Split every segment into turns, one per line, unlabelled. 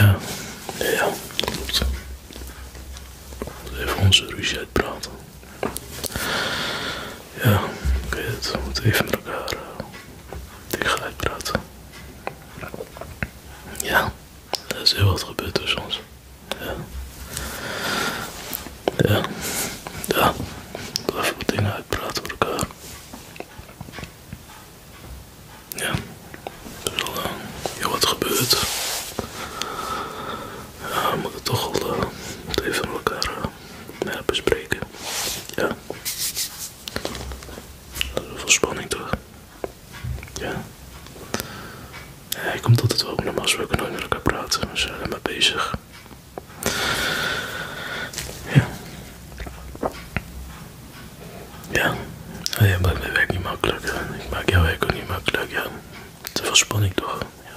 Ja, ja, dat klopt. Even onze ruzie uitpraten. Ja, oké, het. Moet even met elkaar uh, tegen uitpraten. Ja, er is heel wat gebeurd tussen ons. Ja. Ja. Ja. Even wat dingen uitpraten voor elkaar. Ja, er is al eh, heel wat gebeurt we moeten toch al eh, even met elkaar eh, bespreken. Ja. er is veel spanning toch? Ja. ik ik komt altijd wel op normaal gesproken nooit met elkaar praten. We zijn er maar bezig. Ja. Ja, oh ja maakt mijn werk niet makkelijk. Ik maak jouw werk ook niet makkelijk. Ja. Te veel spanning toch? Ja.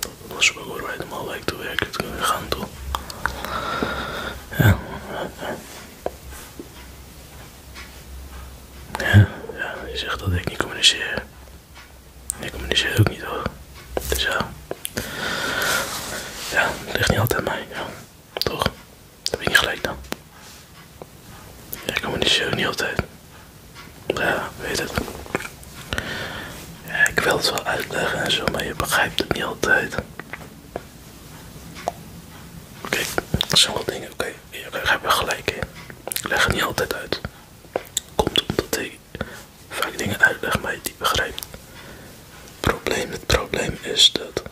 Dat was ook waar wij normaal lijkt te werken gaan toch? Ja. Ja, ja, je zegt dat ik niet communiceer. Ik communiceer ook niet hoor. Dus ja. Ja, het ligt niet altijd aan mij. Toch? Heb je niet gelijk dan? ik kan niet zo niet altijd. Ja, weet het. Ja, ik wil het wel uitleggen en zo, maar je begrijpt het niet altijd. Oké, okay, zijn wel dingen. Oké, Ik heb er gelijk in. Ik leg het niet altijd uit. Komt omdat ik vaak dingen uitleg, maar je die begrijpt probleem, het probleem is dat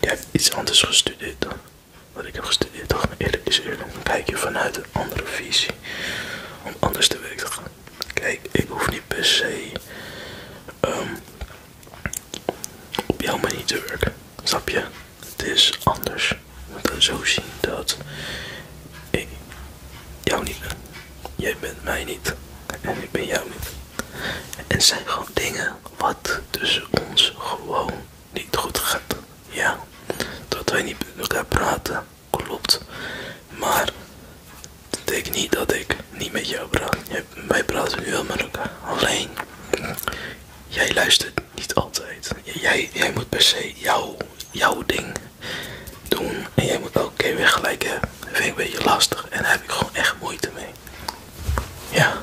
jij hebt iets anders gestudeerd dan wat ik heb gestudeerd. Toch, maar eerlijk is eerlijk, dan kijk je vanuit een andere visie om anders te werken. Kijk, ik hoef niet per se ehm, op jouw manier te werken, snap je? Het is anders. Je moet dan zo zien dat ik jou niet ben. Jij bent mij niet en ik ben jou niet. En zijn gewoon dingen wat tussen ons gewoon niet goed gaat. Ja, dat wij niet met elkaar praten, klopt. Maar dat betekent niet dat ik niet met jou praat. Wij praten nu wel met elkaar. Alleen, jij luistert niet altijd. Jij, jij moet per se jouw, jouw ding doen. En jij moet ook keer weer gelijk hebben. Dat vind ik een beetje lastig. En daar heb ik gewoon echt moeite mee. Ja,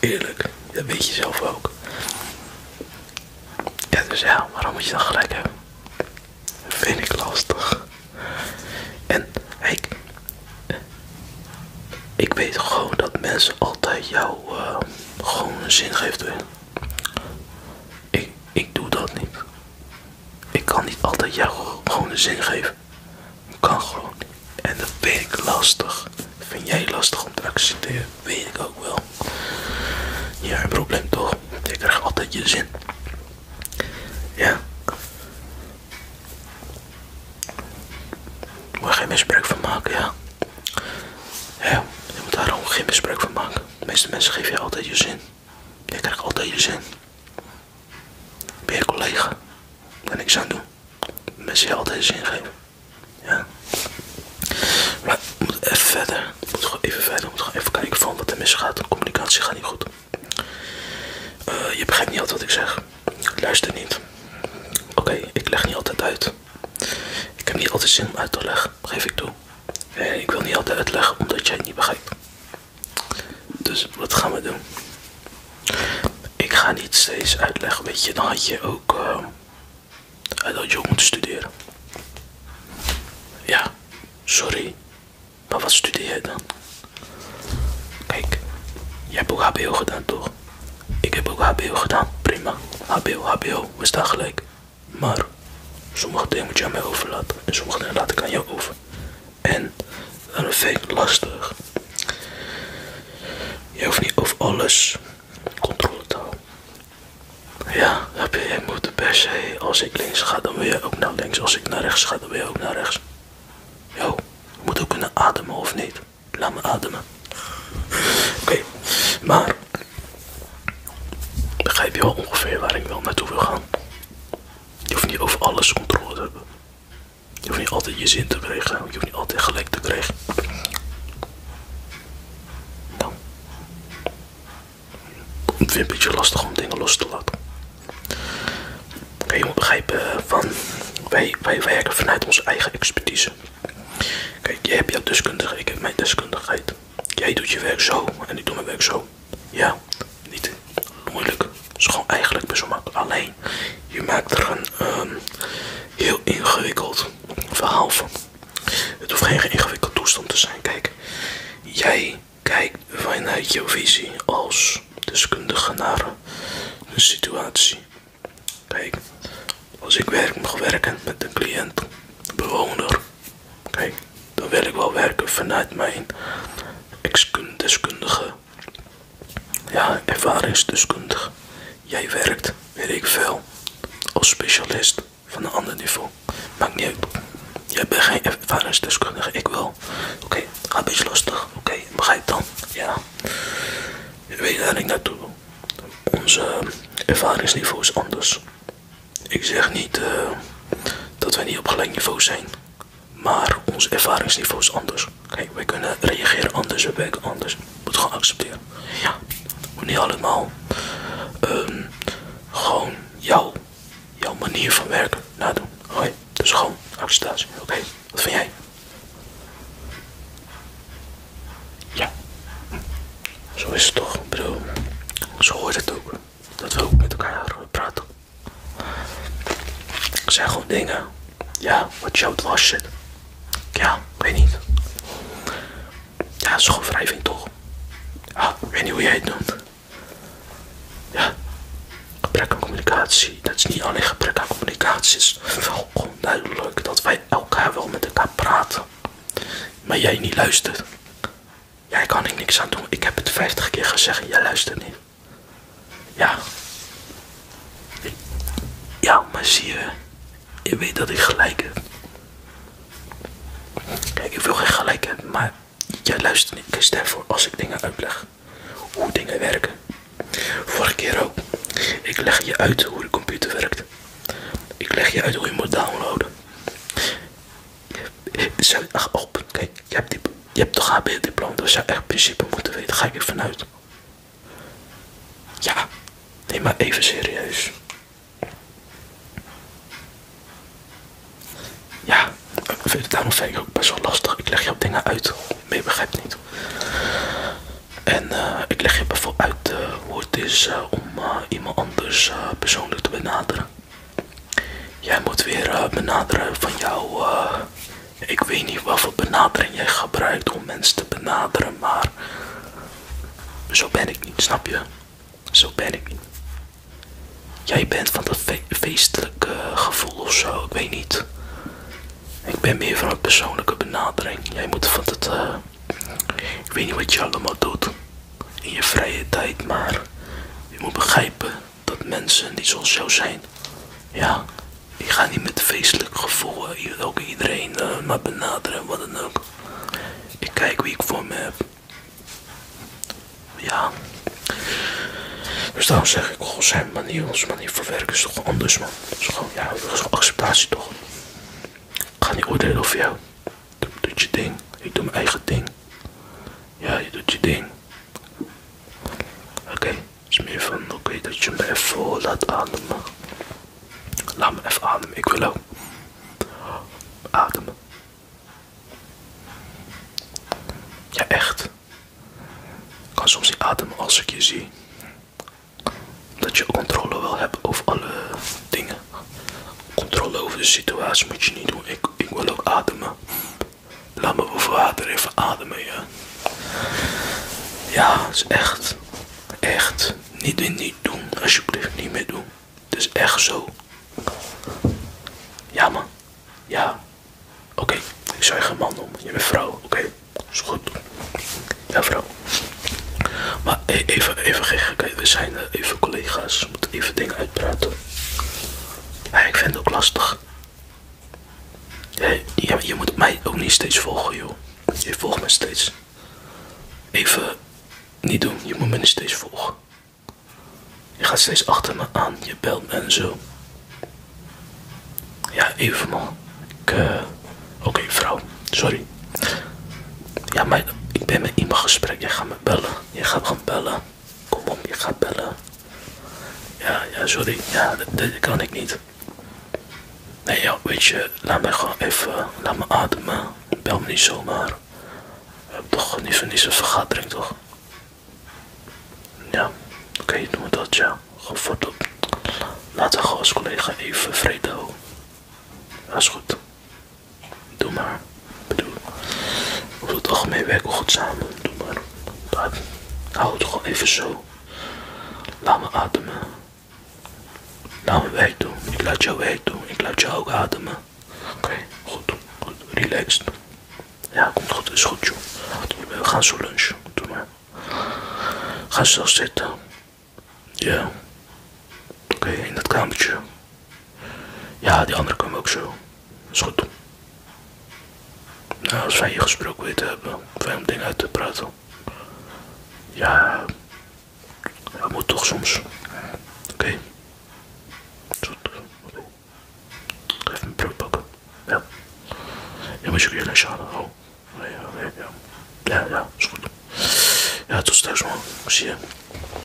eerlijk. Dat weet je zelf ook. Ja, dus ja, waarom moet je dan gelijk hebben? vind ik lastig. En ik, ik weet gewoon dat mensen altijd jou eh, gewoon een zin geven. Ik, ik doe dat niet. Ik kan niet altijd jou gewoon een zin geven. kan gewoon. En dat vind ik lastig. vind jij lastig om te accepteren? Weet ik ook wel. Ja, een probleem toch? Ik krijg altijd je zin. Ja. Ik moet geen misbruik van maken, ja. Ja, je moet daar gewoon geen misbruik van maken. De meeste mensen geven je altijd je zin je krijgt altijd je zin. Ben je collega? Daar niks aan doen. Mensen je altijd zin geven. Ja. Maar we even verder. We gewoon even verder. moet gewoon even kijken van wat er misgaat. De communicatie gaat niet goed. Eh, je begrijpt niet altijd wat ik zeg. Luister niet. Oké, ik leg niet altijd uit. Ik heb niet altijd zin om uit te leggen. Geef ik toe. Eh, ik wil niet altijd uitleggen omdat jij het niet begrijpt. Dus wat gaan we doen? Ik ga niet steeds uitleggen, weet je, dan had je ook eh, uit dat je moeten studeren. Ja, sorry. Maar wat studeer jij dan? Kijk, jij hebt ook HBO gedaan toch? Ik heb ook HBO gedaan, prima. HBO, HBO, we staan gelijk. Maar sommige dingen moet je aan mij overlaten en sommige dingen laat ik aan jou over. En dat vind ik lastig. Je hoeft niet over alles controle te houden. Ja, heb je, moet per se, als ik links ga, dan wil je ook naar links. Als ik naar rechts ga, dan wil je ook naar rechts. Yo, je moet ook kunnen ademen of niet. Laat me ademen. Oké, maar begrijp je wel ongeveer waar ik wel naartoe wil gaan? Je hoeft niet over alles controle te hebben. Je hoeft niet altijd je zin te krijgen. Je hoeft niet altijd gelijk te krijgen. Nou. Ik vind het een beetje lastig om dingen los te laten. Kijk, je moet begrijpen eh, van... Wij, wij werken vanuit onze eigen expertise. Kijk, jij hebt jouw deskundigheid, ik heb mijn deskundigheid. Jij doet je werk zo en ik doe mijn werk zo. Ja, niet moeilijk. Het is gewoon eigenlijk best wel Alleen, je maakt er een ehm, heel ingewikkeld verhaal van. Het hoeft geen ingewikkeld toestand te zijn. Kijk, jij kijkt vanuit jouw visie als deskundige naar een situatie. Kijk, als ik werk mag werken met een cliënt, een bewoner, Kijk, dan wil ik wel werken vanuit mijn deskundige. Ja, ervaringsdeskundige. Jij werkt, weet ik veel, als specialist van een ander niveau. Maakt niet uit. Jij bent geen ervaringsdeskundige, ik wel. Oké, ga een beetje lastig. Oké, begrijp dan. Ja. Je weet ik naartoe Onze ervaringsniveau is anders. Ik zeg niet eh, dat wij niet op gelijk niveau zijn, maar ons ervaringsniveau is anders. Kijk, wij kunnen reageren anders, we werken anders. Moet gewoon accepteren. Ja, moet niet allemaal. Ehm, gewoon jouw, jouw manier van werken nadoen. Hoi, dus gewoon acceptatie. Oké, wat vind jij? Ja, zo is het toch, bril. Zo hoort het ook. Dat we ook met elkaar praten. Het zijn gewoon dingen. Ja, wat jouw was het, Ja, weet niet. Ja, zo'n wrijving toch? Ja, ah, ik weet niet hoe jij het noemt. Ja, gebrek aan communicatie. Dat is niet alleen gebrek aan communicatie. Het is wel onduidelijk dat wij elkaar wel met elkaar praten. Maar jij niet luistert. Jij kan ik niks aan doen. Ik heb het 50 keer gezegd. Jij luistert niet. Ja. Ja, maar zie je. Je weet dat ik gelijk heb. Kijk, ik wil geen gelijk hebben, maar jij luistert niet. Ik stem voor als ik dingen uitleg. Hoe dingen werken. Vorige keer ook. Ik leg je uit hoe de computer werkt. Ik leg je uit hoe je moet downloaden. Zijn echt Kijk, je hebt, toch je hebt toch een diploma dus zou echt principe moeten weten. Ga ik even vanuit. Ja, neem maar even serieus. Ja, ik vind het daarom vind ik ook best wel lastig. Ik leg op dingen uit, Ik mee begrijp niet. En eh, ik leg je bijvoorbeeld uit eh, hoe het is eh, om iemand anders persoonlijk te benaderen. Jij moet weer eh, benaderen van jou. Eh, ik weet niet wat voor benadering jij gebruikt om mensen te benaderen, maar zo ben ik niet, snap je? Zo ben ik niet. Jij bent van dat feestelijke gevoel of zo, ik weet niet. Ik ben meer van een persoonlijke benadering. Jij moet van het. Eh, ik weet niet wat je allemaal doet in je vrije tijd, maar je moet begrijpen dat mensen die zoals jou zijn, ja, die gaan niet met feestelijk gevoel eh, ook iedereen uh, maar benaderen, wat dan ook. Ik kijk wie ik voor me heb. Ja. Dus daarom zeg ik, goh, zijn manier, manier van werken is toch anders, man. Dat ja, dat is gewoon acceptatie, toch? Ik ga niet oordelen over jou doe, je ding. Ik doe mijn eigen ding. Ja, je doet je ding. Oké, is meer van oké dat je me even laat ademen. Laat me even ademen, ik wil ook. adem. Ja, echt. Ik kan soms niet ademen als ik je zie. Dat je controle wil hebben over alle dingen. Controle over de situatie moet je niet doen. Ik, wil ook ademen. Laat me boven water even ademen, ja. Ja, het is echt, echt, niet, niet doen, alsjeblieft, niet meer doen. Het is echt zo. Ja, man. Ja. Oké, ik zou je geen man noemen. Je bent vrouw, oké. Is goed. Ja, vrouw. Maar e- even, even we zijn even collega's. We moeten even dingen uitpraten ik vind het ook lastig. Je, moet mij ook niet steeds volgen, joh. Je volgt me steeds. Even niet doen, je moet me niet steeds volgen. Je gaat steeds achter me aan, je belt me en zo. Ja, even man. Eh, oké, vrouw, sorry. Ja, maar ik ben met iemand gesprek. Jij gaat me bellen. Jij gaat gaan bellen. Kom op, ik gaat bellen. Ja, ja, sorry. Ja, dit kan ik niet. Nee, ja, weet je, laat mij gewoon even, laat me ademen. Bel me niet zomaar. We hebben toch niet van deze vergadering, toch? Ja, oké, noem dat, ja. Gewoon voortop. Laten we gewoon als collega even vrede houden. Dat is goed. Doe maar. Ik bedoel, we het algemeen werken goed samen. Doe maar. Hou het gewoon even zo. Laat me ademen. Laat me werk doen. Ik laat jou werk doen. Ik laat jou ook ademen. Oké, goed. Relaxed. Ja, komt goed. Is goed, joh. We gaan zo lunchen. Doe maar. Ga zelf zitten. Ja. Oké, in dat kamertje. Ja, die andere komen ook zo. Is goed. Nou, als wij je gesproken weten hebben, wij om dingen uit te praten. Ja, dat moet toch soms. Oké. goed, Even mijn broek pakken. Ja. Je moet je ook jullie schade oh. Ja, ja, ja. is goed. Ja, tot straks man. ciao.